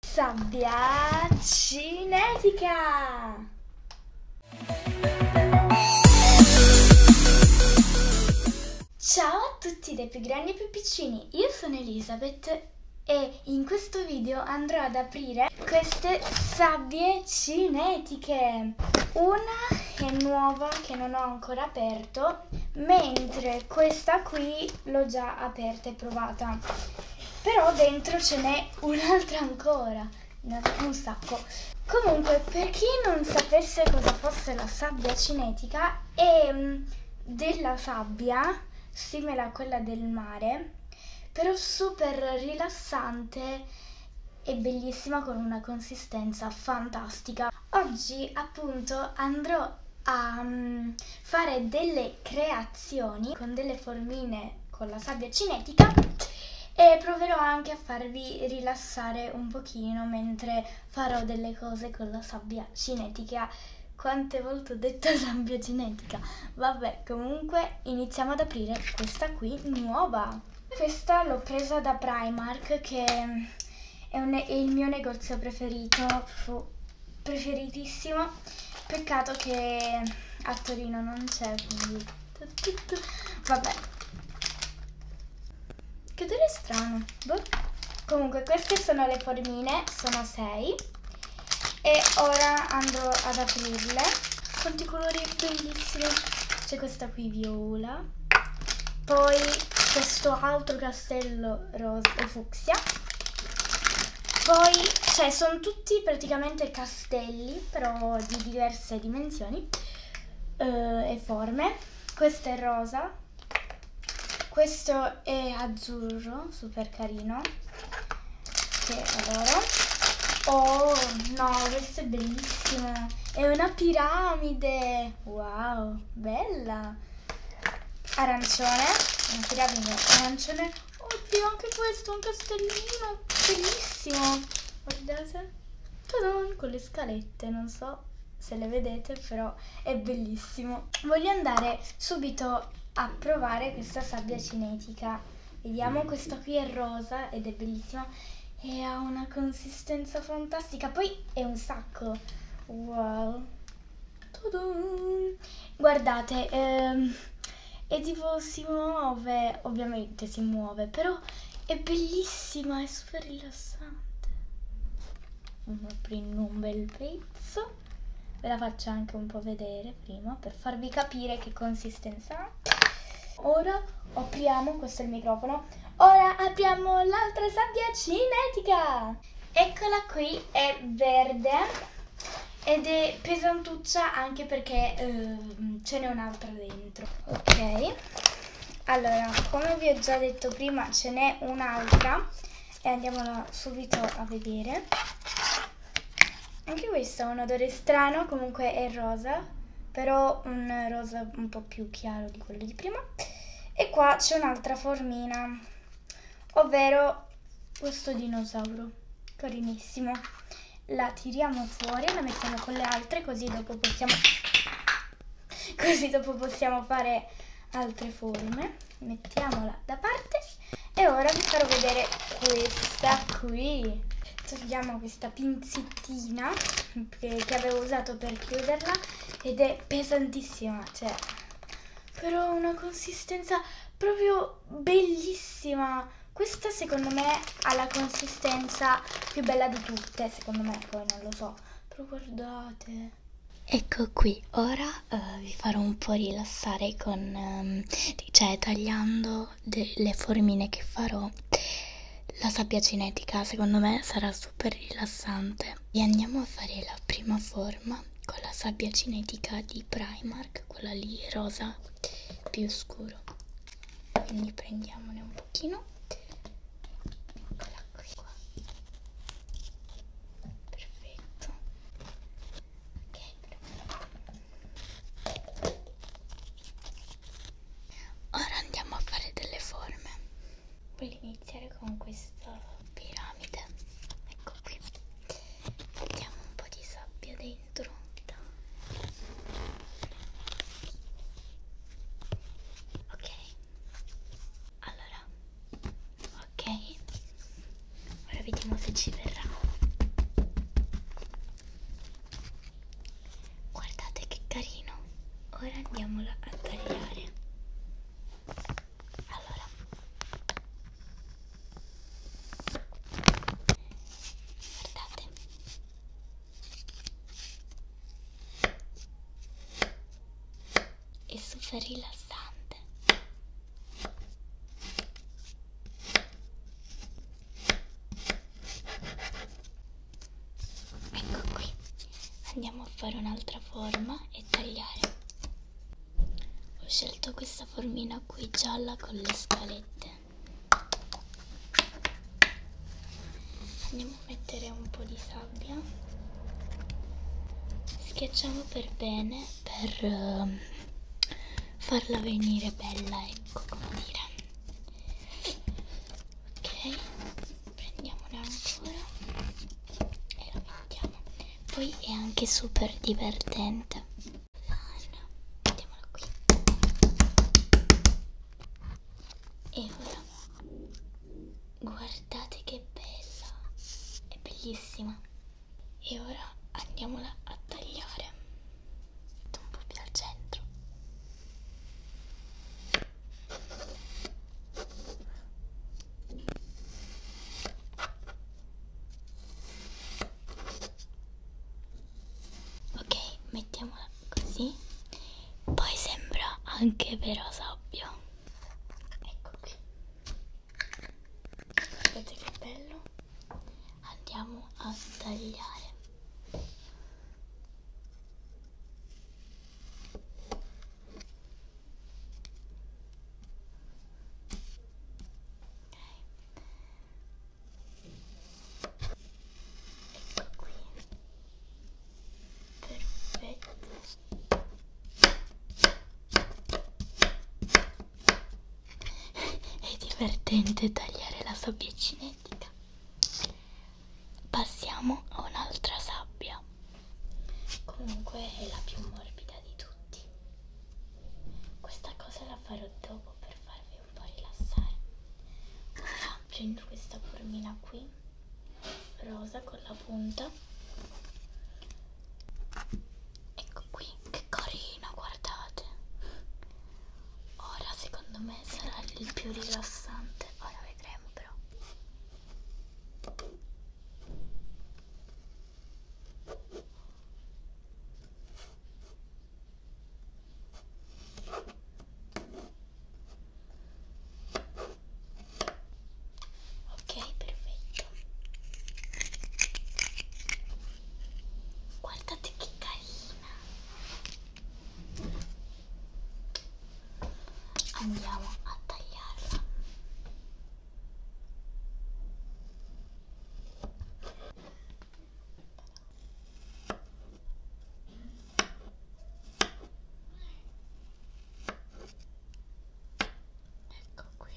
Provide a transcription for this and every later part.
Sabbia cinetica! Ciao a tutti dai più grandi e più piccini, io sono Elisabeth e in questo video andrò ad aprire queste sabbie cinetiche. Una è nuova che non ho ancora aperto, mentre questa qui l'ho già aperta aperta e provata. Però dentro ce n'è un'altra ancora, un sacco. Comunque, per chi non sapesse cosa fosse la sabbia cinetica, è ehm, della sabbia, simile a quella del mare, però super rilassante e bellissima con una consistenza fantastica. Oggi appunto andrò a mm, fare delle delle creazioni con delle formine con la sabbia cinetica e proverò anche a farvi rilassare un pochino mentre farò delle cose con la sabbia cinetica. Quante volte ho detto sabbia cinetica? Vabbè, comunque iniziamo ad aprire questa qui nuova. Questa l'ho presa da Primark che è, è il mio negozio preferito preferitissimo. Peccato che a Torino non c'è, quindi... Vabbè. Che odore strano. Boh. Comunque, queste sono le formine, sono 6. E ora andrò ad aprirle. Quanti colori bellissimi. C'è questa qui viola. Poi questo altro che pastello rosa o fucsia. Poi, cioè, sono tutti praticamente castelli, però di diverse dimensioni eh, e forme. Questo è rosa, questo è azzurro, super carino, che adoro. Oh, no, questo è bellissimo, è una piramide, wow, bella! arancione, un tirabigno arancione. Oddio, anche questo è un castellino bellissimo. Guardate. Tadon, con le scalette, non so se le vedete, però è bellissimo. Voglio andare subito a provare questa sabbia cinetica. Vediamo, questa qui è rosa ed è bellissima e ha una consistenza fantastica. Poi è un sacco. Wow. Guardate, ehm, è tipo si muove, ovviamente si muove, però è bellissima, è super rilassante. Prendo un bel pezzo, ve la faccio anche un po' vedere prima per farvi capire che consistenza ha. Ora apriamo, questo è il microfono, ora apriamo l'altra sabbia cinetica! Eccola qui, è verde ed è pesantuccia anche perché eh, ce n'è un'altra dentro. Ok, allora come vi ho già detto prima ce n'è un'altra e andiamola subito a vedere. Anche questo ha un odore strano, comunque è rosa, però un rosa un po' più chiaro di quello di prima. E qua c'è un'altra formina, ovvero questo dinosauro, carinissimo. La tiriamo fuori, la mettiamo con le altre così dopo possiamo, così dopo possiamo fare altre forme. Mettiamola da parte e ora vi farò vedere questa qui. Togliamo questa pinzettina che avevo usato per chiuderla ed è pesantissima, cioè, però ha una consistenza proprio bellissima. Questa secondo me ha la consistenza più bella di tutte, secondo me, poi non lo so, però guardate. Ecco qui, ora uh, vi farò un po' rilassare con, um, cioè tagliando le formine che farò. La sabbia cinetica secondo me sarà super rilassante e andiamo a fare la prima forma con la sabbia cinetica di Primark, quella lì rosa più scuro. Quindi prendiamone un pochino. Eccola qui qua. Perfetto. Ok. Ora andiamo a fare delle forme. Voglio iniziare con questa piramide. Ecco qui. Mettiamo un po' di sabbia dentro. Ok. Allora. Ok. Ora vediamo se ci verrà guardate che carino ora andiamolo a tagliare allora guardate è super rilassante ecco qui andiamo a fare un'altra forma e tagliare ho scelto questa formina qui gialla con le scalette andiamo a mettere un po' di sabbia schiacciamo per bene per uh, farla venire bella ecco come dire ok prendiamone ancora e lo mettiamo poi è anche super divertente mettiamola qui e ora guardate che bella è bellissima e ora andiamola a tagliare un po' più al centro Ok, mettiamola così. Poi sembra anche vero sabbio. Ecco qui. Guardate che bello. Andiamo a tagliare. Ecco qui. Perfetto. È divertente tagliare la sabbia cinetica passiamo a un'altra sabbia comunque è la più morbida di tutti questa cosa la farò dopo per farvi un po' rilassare allora, ah, prendo questa formina qui rosa con la punta ecco qui che carina guardate ora secondo me sarà il più rilassante ora vedremo però ok perfetto guardate che carina andiamo a tagliarla ecco qui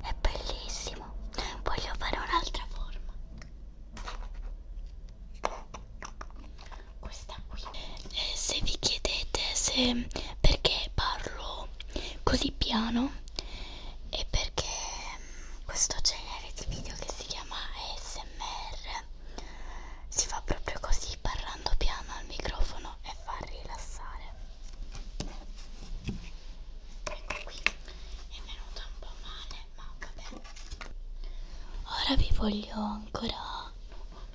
è bellissimo, voglio fare un'altra forma questa qui eh, se vi chiedete se perché parlo così piano è perché mm, questo genere di video che si chiama ASMR si fa proprio così parlando piano al microfono e fa rilassare ecco qui è venuta un po' male ma vabbè ora vi voglio ancora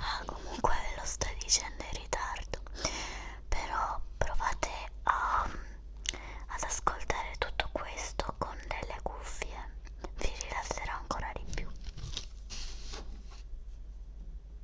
Ah, comunque ve lo sto dicendo in ritardo, però provate a, mm, ad ascoltare tutto questo con delle cuffie, vi rilasserà ancora di più.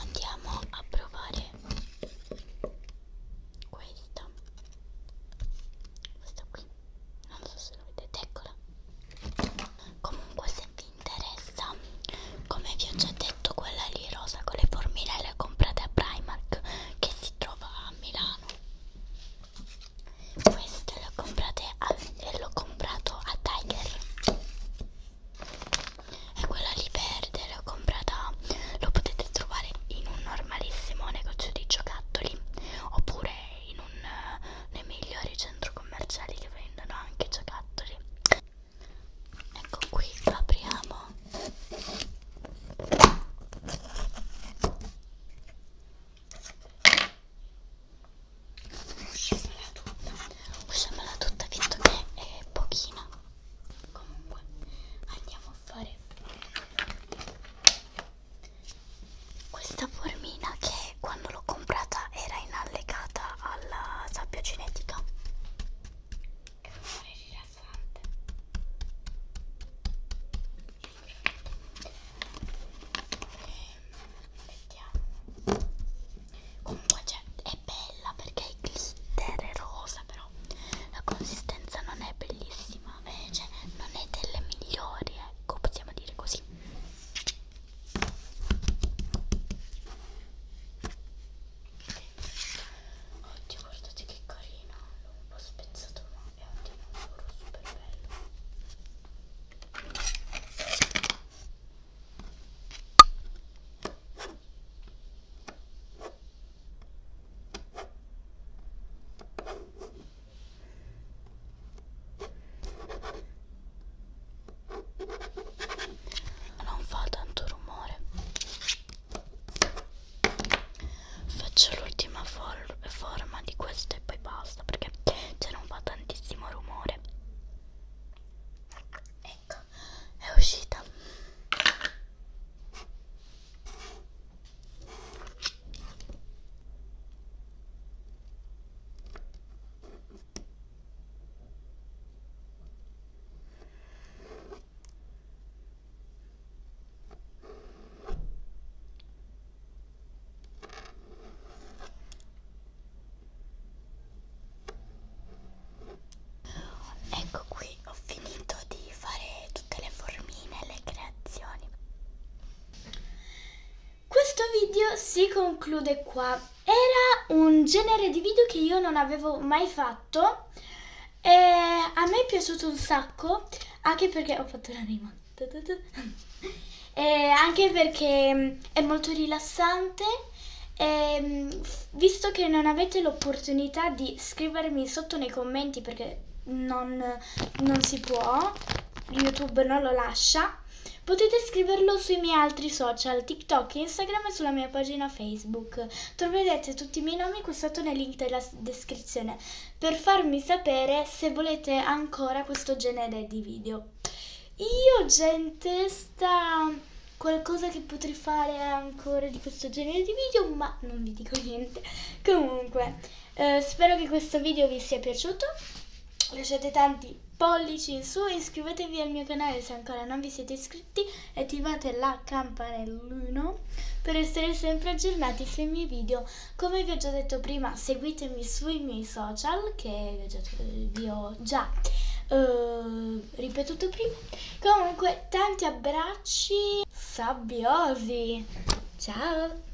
Andiamo a provare questa. Questa qui. Non so se lo vedete, eccola. Comunque se vi interessa, come vi ho già detto, quella lì rosa con le formiche le comprate a Primark che si trova a Milano. Questo l'ho comprato l'ho comprato a Tiger. E quella lì verde l'ho comprata. Lo potete trovare in un normalissimo negozio di giocattoli oppure in un eh, nei migliori centri commerciali che vendono anche giocattoli. Ecco qui, lo apriamo usciamola tutta usciamola tutta visto che è pochina comunque andiamo a fare questa formina che quando l'ho comprata era inallegata alla sabbia cinetica è un rumore rilassante vediamo ehm, comunque cioè, è bella perché è glitter è rosa però la consistenza non è bellissima eh, cioè, non è delle migliori ecco possiamo dire così Oddio guardate che carino, l'ho un po' spezzato ma e ottiene un lavoro super bello non fa tanto rumore faccio l'ultima for forma di questo e poi basta perché cioè non fa tantissimo rumore ecco è uscita Ecco qui, ho finito di fare tutte le formine e le creazioni. Questo video si conclude qua. Era un genere di video che io non avevo mai fatto e a me è piaciuto un sacco, anche perché ho fatto la rima. E anche perché mm, è molto rilassante. E, mm, visto che non avete l'opportunità di scrivermi sotto nei commenti perché non, non si può, YouTube non lo lascia, potete scriverlo sui miei altri social, TikTok, Instagram e sulla mia pagina Facebook. Troverete tutti i miei nomi qui sotto nel link della descrizione per farmi sapere se volete ancora questo genere di video. Io già in testa qualcosa che potrei fare ancora di questo genere di video, ma non vi dico niente. Comunque, eh, spero che questo video vi sia piaciuto. Lasciate tanti pollici in su, iscrivetevi al mio canale se ancora non vi siete iscritti tutti e attivate la campanellina per essere sempre aggiornati sui miei video. Come vi ho già detto prima, seguitemi sui miei social che vi ho già uh, ripetuto prima. Comunque, tanti abbracci sabbiosi. Ciao!